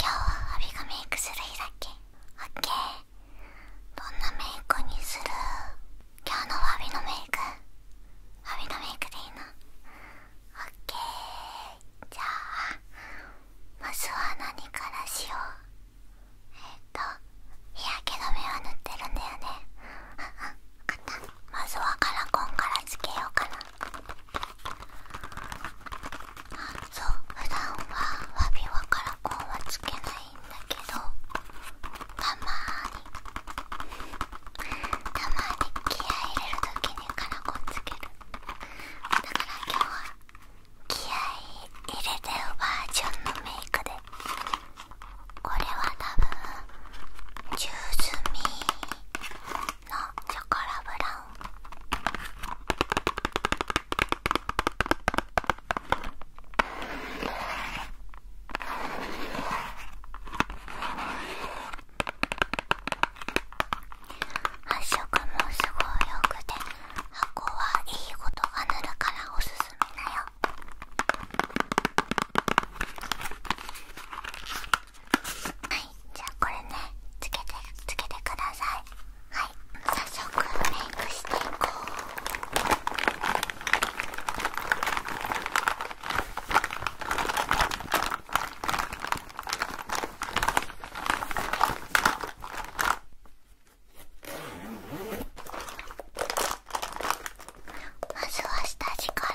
今日はアビがメイクする日だっけオッケーどんなメイクにする今日のアビのメイクアビのメイクでいいの。オッケーじゃあまずは何からしようえっ、と日焼け止めは塗ってるんだよね分かったまずはカラコンからつけようかなそう普段はわびわカラコンはつけないんだけどたまにたまに気合い入れる時にカラコンつけるだから今日は気合い入れてるバージョンのメイクでこれは多分ジュースチョコラブラウン発色もすごい良くて箱はいいことが塗るからおすすめだよ。はいじゃあこれねつけてつけてくださいはい早速メイクしていこうまずは下地から。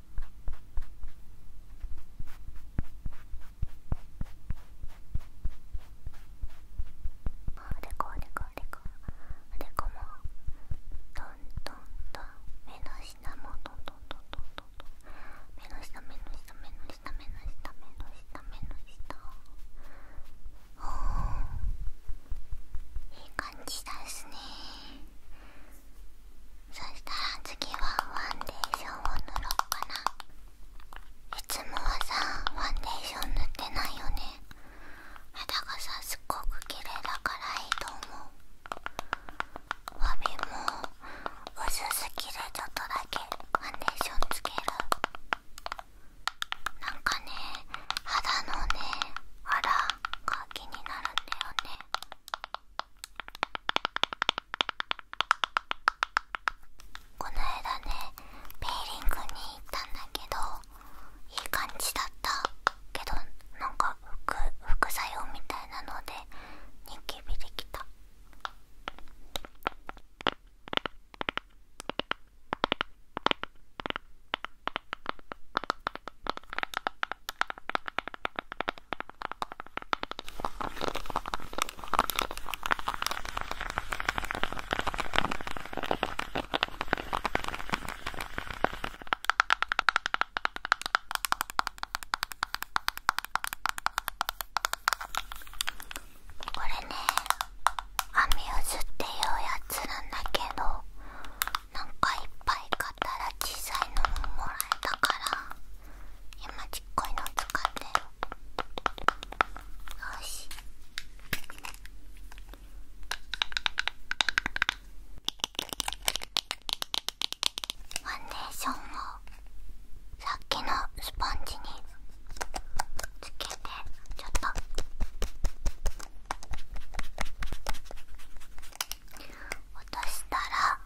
あれこおれこおれこおれこもトントントン目の下もトントントントントントン目の下目の下目の下目の下目の下目の下おおいい感じですねそしたら次はファンデーションを塗ろうかないつもはさファンデーション塗ってないよね肌がさすっごく綺麗だからいいと思うわびも薄すぎるちょっとだけファンデーションつけるなんかね肌のねあらが気になるんだよねこの間ねペーリングに行ったんだけどいい感じだったけどなんか副副作用みたいなのでニキビできた。これねアミューズっていうやつなんだけどなんかいっぱい買ったら小さいのももらえたから今ちっこいの使ってよしファンデーションをさっきのスポンジにつけてちょっと落としたら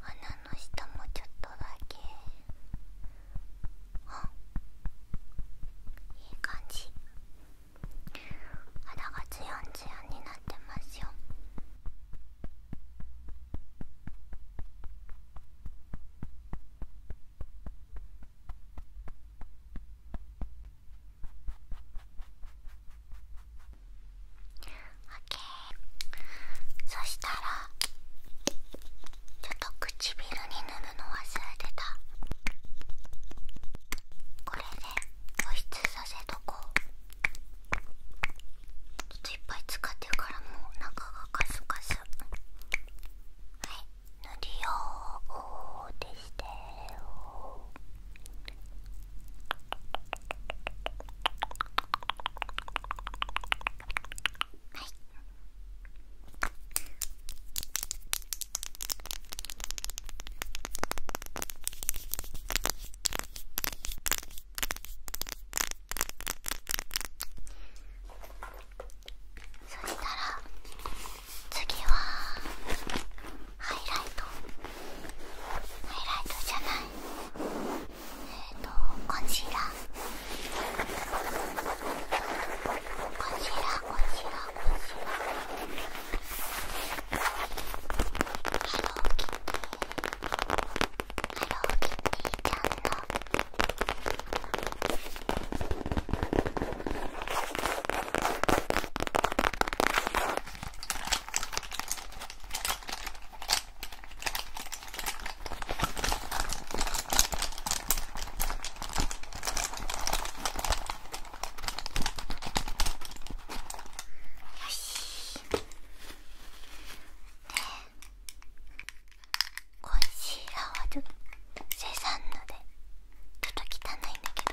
鼻の下もちょっとだけあいい感じ肌がツヤンツヤンになってますよあオッケー！そしたらちょっと唇に塗るの忘れてたこれで保湿させとこうちょっといっぱい使ってるからもう中がカスカスはい塗りようでしてよーはいそしたら次はハイライトハイライトじゃないえっ、ー、とコンシーラーコンシーラーコンシーラーコンシーラーハローキティハローキティちゃんのえっとよしねえ。ンシーラはちょっと生産のでちょっと汚いんだけど。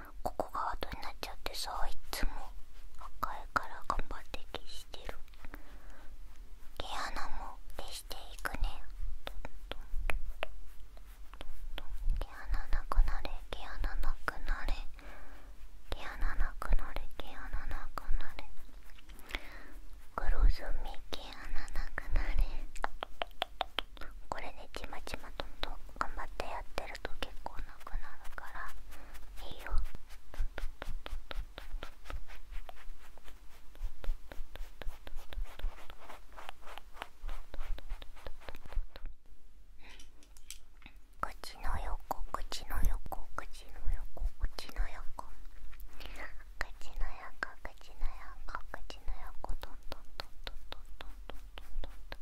ここが後になっちゃってさいつも赤いから頑張って消してる毛穴も消していくね毛穴なくなれ毛穴なくなれ毛穴なくなれ毛穴なくなれ黒ずみ毛穴なくなれこれね、ちまちまとんとん頑張ってやってると結構なくなるからいいよ口の横口の横口の横口の横口の横口の横口の横トントントントントントントントントントン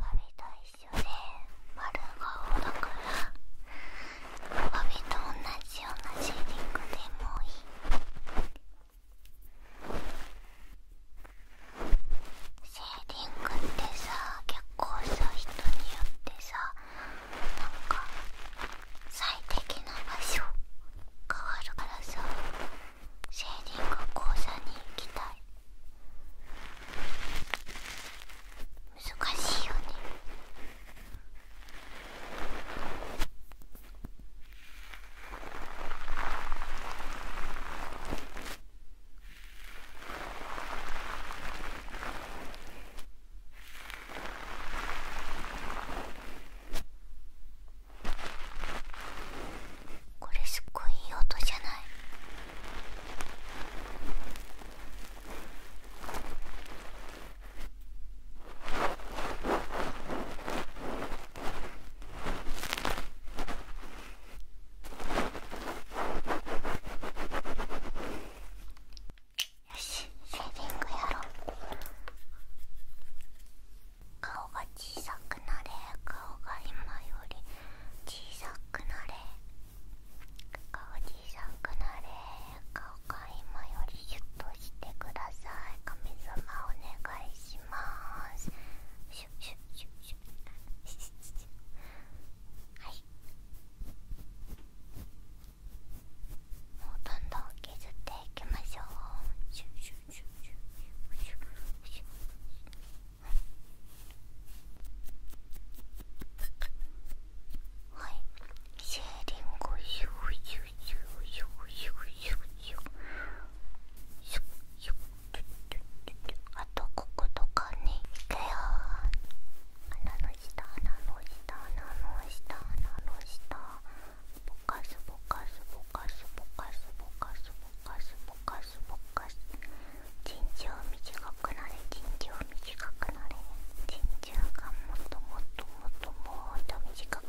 ワビと一緒で丸顔だからおびと同じようなシェーディングでもいいシェーディングってさ結構さ人によってさなんか最適な場所変わるからさシェーディング講座に行きたい難しいよねこれすっごいいい音じゃないよしセーディングやろう顔が小さくなれ顔が今より小さくなれ顔小さくなれ顔今よりシュッとしてください神様お願いしますもうどんどん削っていきましょうはいシェーリングをシューシューシューシューシューシューシューシューシューあとこことかねいくよ鼻の下鼻の下鼻の下鼻の下ぼかすぼかすぼかすぼかすぼかすぼかすぼかすぼかす人生短くなれ人生短くなれ人生がもっともっともっともっと短くな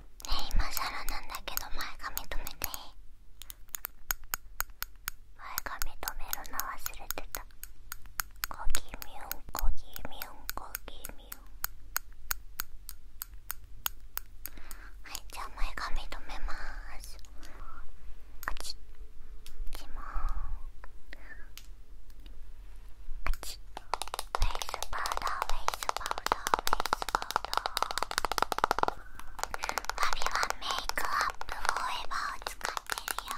今更なんだけど前髪留めて前髪留めるの忘れてたコギミュンコギミュンコギミュンはいじゃあ前髪留めまーすあちっちもあちっウェイスパウダーフェイスパウダーフェイスパウダーパビはメイクアップフーエバーを使ってるよ「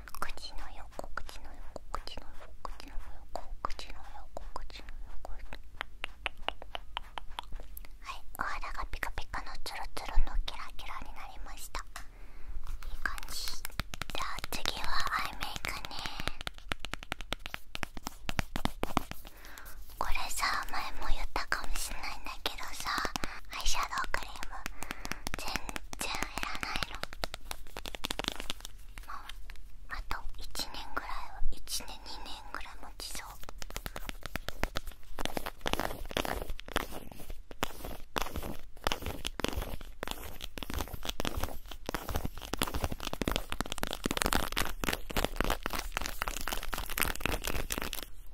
口の横口の横口の横口の横口の横口の横はいお肌がピカピカのツルツルのキラキラになりましたいい感じじゃあ次はアイメイクねこれさ前も言ったかもしれないんだけどさアイシャドウクリーム全然らなあと1年ぐらいは1年2年ぐらいもちそう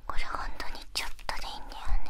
これ本当にちょっとでいいんだよね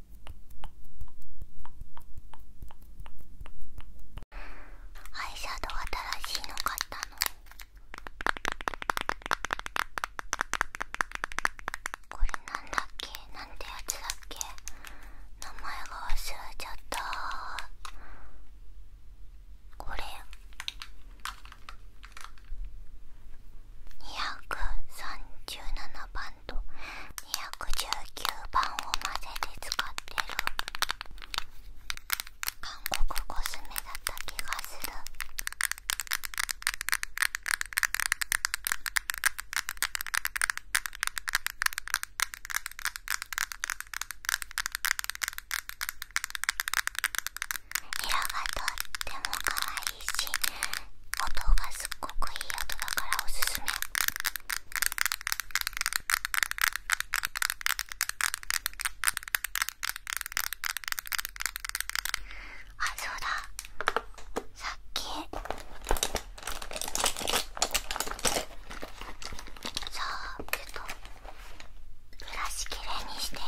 アイシャドウ新しいの買ったのこれなんだっけなんてやつだっけ名前が忘れちゃったこれ237番219番を混ぜて使ってる韓国コスメだった気がする色がとっても可愛いし音がすっごくいい音だからおすすめあそうださっきさあちょっとブラシきれいにしていい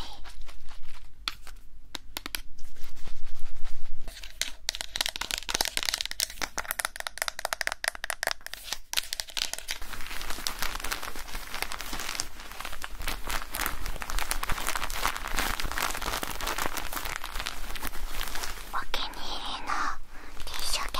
お気に入りのティッシュケ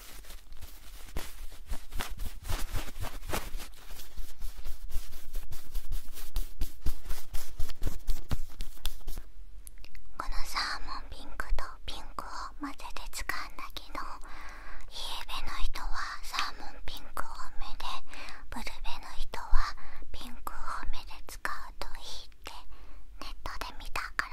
このサーモンピンクとピンクを混ぜて使うんだけどイエベの人はサーモンピンク多めでブルベの人はピンク多めで使うといいってネットで見たから。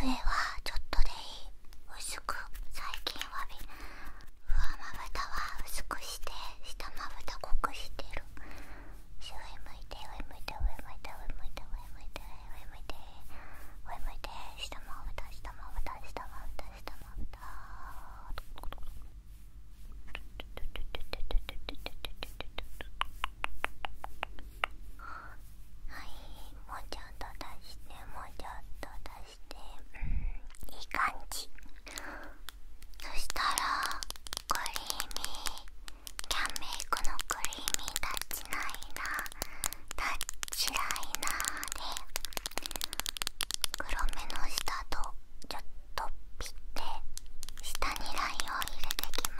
上はちょっとでいい薄く最近はび上まぶたは薄くして下まぶた濃くしてる上向いて上向いて上向いて上向いて上向いて上向いて上向いて下まぶた下まぶた下まぶた下まぶた上もうちょっと出してもうちょっと出してうんいい感じそしたらクリーミーキャンメイクのクリーミー立ちないな。立ちないな。で黒目の下とちょっとピッて下にラインを入れてきます。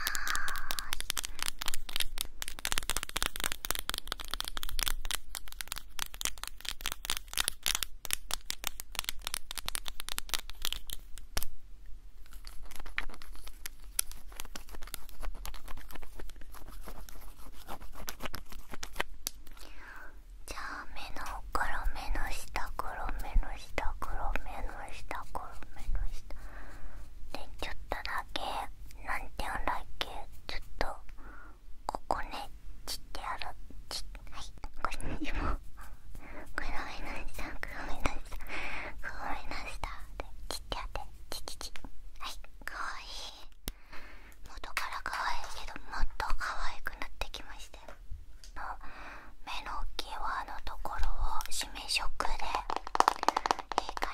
じゃあ目の黒目の下黒目の下黒目の下黒目の下。でちょっとだけなんて言うんだっけちょっとここねちってやるちはいこれにもごめんなさんごめんなさん、ごめんなさいでちってやってちちちはいかわいい元からかわいいけどもっとかわいくなってきましたよの目の際のところを締め色でいい感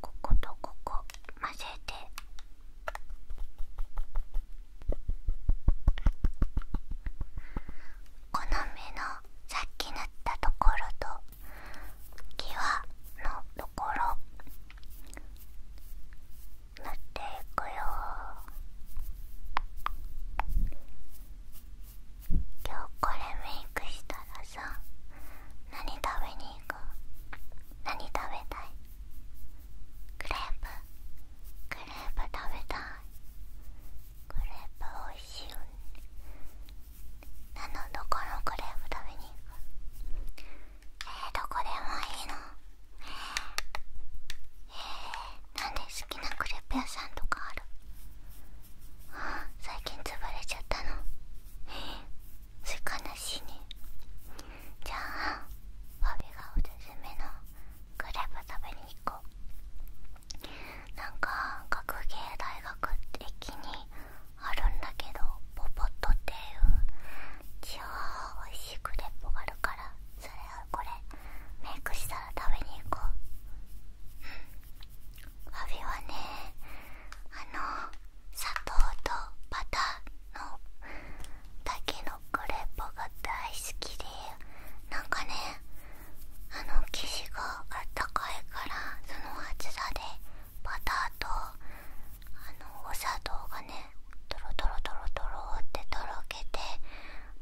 こことここ混ぜてこの目のさっき塗ったところと際のところ塗っていくよ今日これメイクしたらさ何食べに行こう？何食べたいクレープクレープ食べたいクレープおいしいよね何のどこのクレープ食べに行くえー、どこでもいいのええー、なんで好きなクレープ屋さんとかある最近潰れちゃったのえそれ悲しいねじゃあパフェがおすすめのクレープ食べに行こうなんか学芸大学駅にあるんだけどポポッとっていう超おいしいクレープがあるからそれはこれメイクしたら食べに行こうわびはねあの砂糖とバターのだけのクレープが大好きでなんかねあの生地があったかいからその厚さでバターとあのお砂糖がねトろトろトろトロってとろけて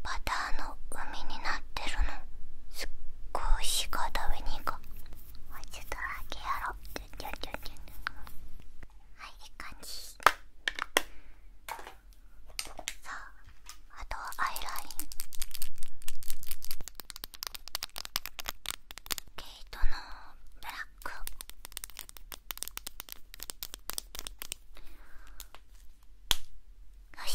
バターの海になってるのこうしか食べに行こうもうちょっとだけやろうはいいい感じさああとはアイライン毛糸のブラックよし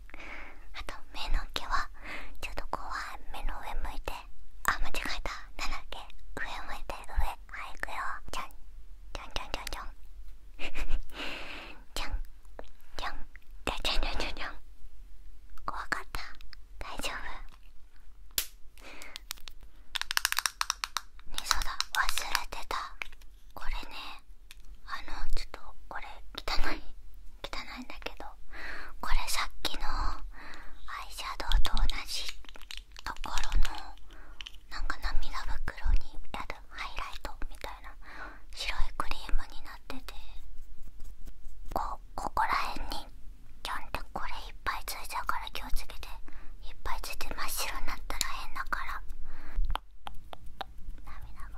あと目の毛はちょっと怖い、目の上向いてあ間違えたなんだっけ上向いて上はいいくよじゃんじゃんじゃんじゃん じゃんじゃんじゃんじゃんじゃんじゃんじゃんじゃん怖かった大丈夫ねそうだ忘れてたこれねあのちょっとこれ汚い汚いんだけどこれさっきのアイシャドウと同じところのなんか涙袋にやるハイライトみたいな白いクリームになっててこここら辺にちゃんてこれいっぱいついちゃうから気をつけていっぱいついて真っ白になったら変だから。涙袋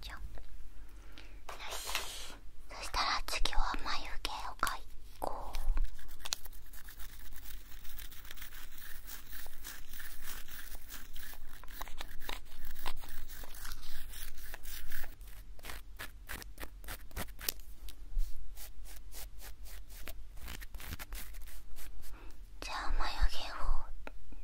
そしたら次は眉毛を描こうじゃあ眉毛を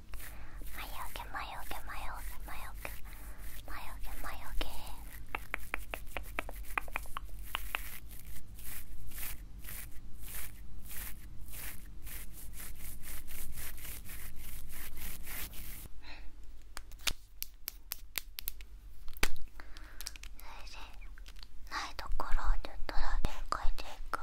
け魔よけ魔よけ魔よけ魔よけ魔よけそれでないところでドラゲン描いていくよ。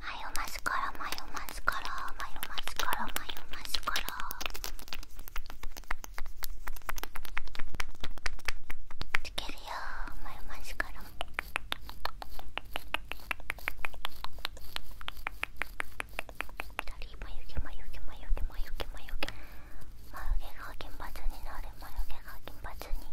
マヨマスカラマヨマスカラマヨマスカラマヨマスカラつけるよマヨマスカラ左眉毛眉毛眉毛眉毛眉毛眉毛が金髪になる眉毛が金髪に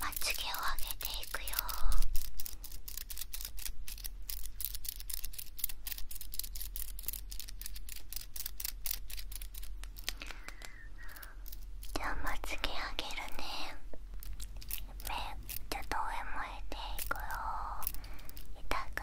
まつげを上げていくよじゃあまつげ上げるね目ちょっと上向いていくよ痛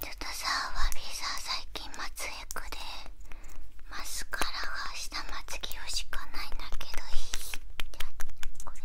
ちょっとさワビーさん最近まつエクでマスカラが下まつげをしかないんだけどいいってこれで。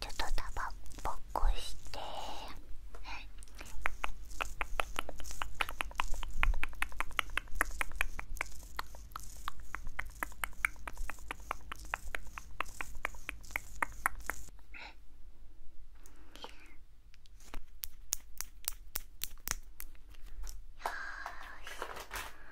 ちょっとたばぼっこしてよし。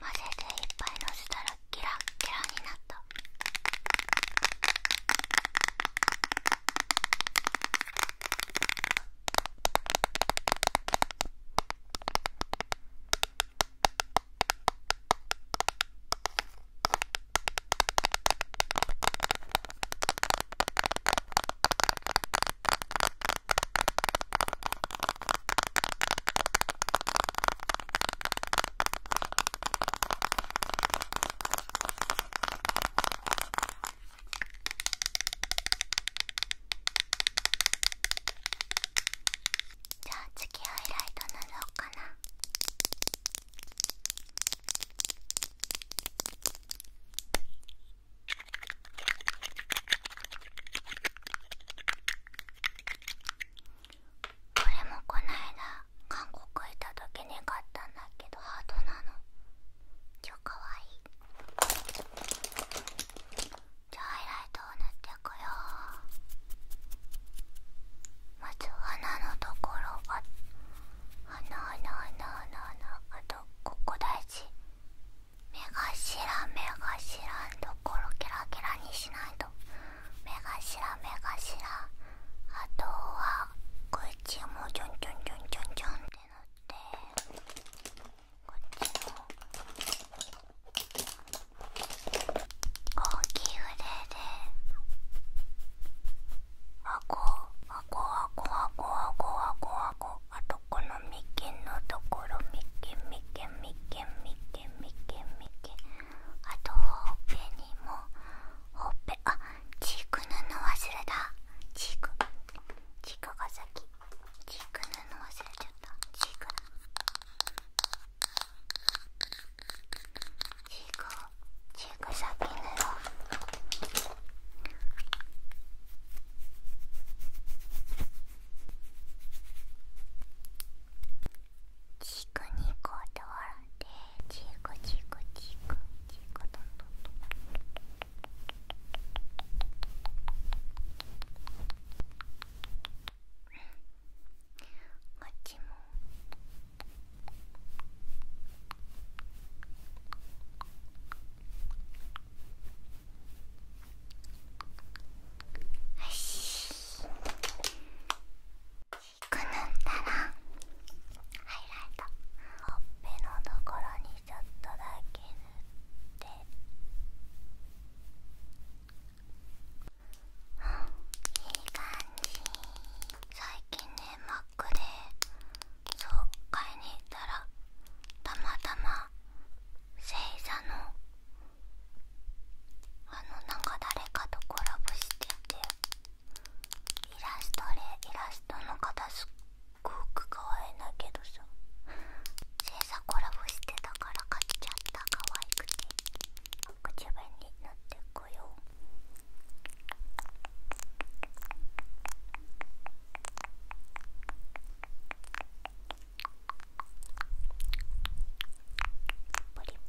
混ぜていっぱいのせたらキラッキラになったじゃあ次ハイライト塗ろうかなこれもこないだ韓国行った時に買ったんだけどハートなの超かわいいじゃあハイライトを塗ってくよまず鼻のところが鼻鼻鼻鼻鼻あとここ大事目頭目頭のところキラキラにしないと。目頭目頭あとは口もちょんちょんちょんちょんちょんって塗ってこっちも大きいであこあこあこあこあこあこあこあとこの眉間のところ眉間眉間眉間眉間眉間眉間。あとほっぺにもほっぺあチーク布忘れたチークチークが先チーク布忘れちゃったチークチークチーク先塗ろうチークにこうって笑ってチークチークチークチークトントントンこっちもこしくぬったらハイライトほっぺのところにちょっとだけ塗ってういい感じ最近ねマックでそう買いに行ったらたまたま星座のあのなんか誰かとコラボしててイラストでイラストの方すっごく可愛いんだけどさ制作コラボしてたから買っちゃった可愛くて自分になってこようポリ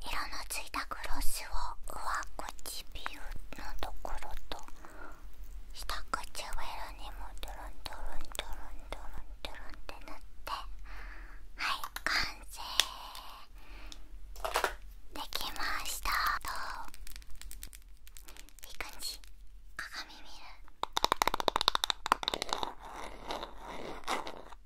色のついたクロスを上唇のところと下唇にもドロンドロンドロンドロンドロンって塗ってはい完成できましたといい感じ鏡見る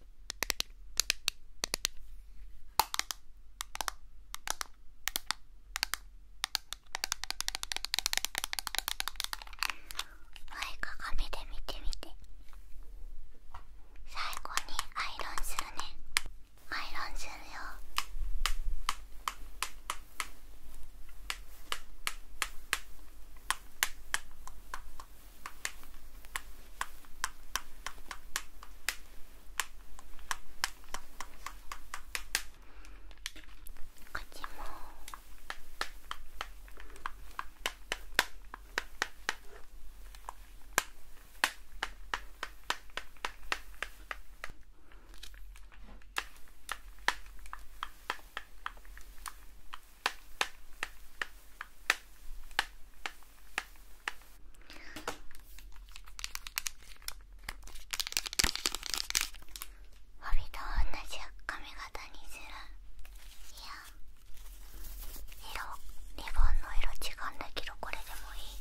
いみで見てみて最後にアイロンするねアイロンするよこっちも帯と同じ髪型にするいや色リボンの色違うんだけどこれでもいい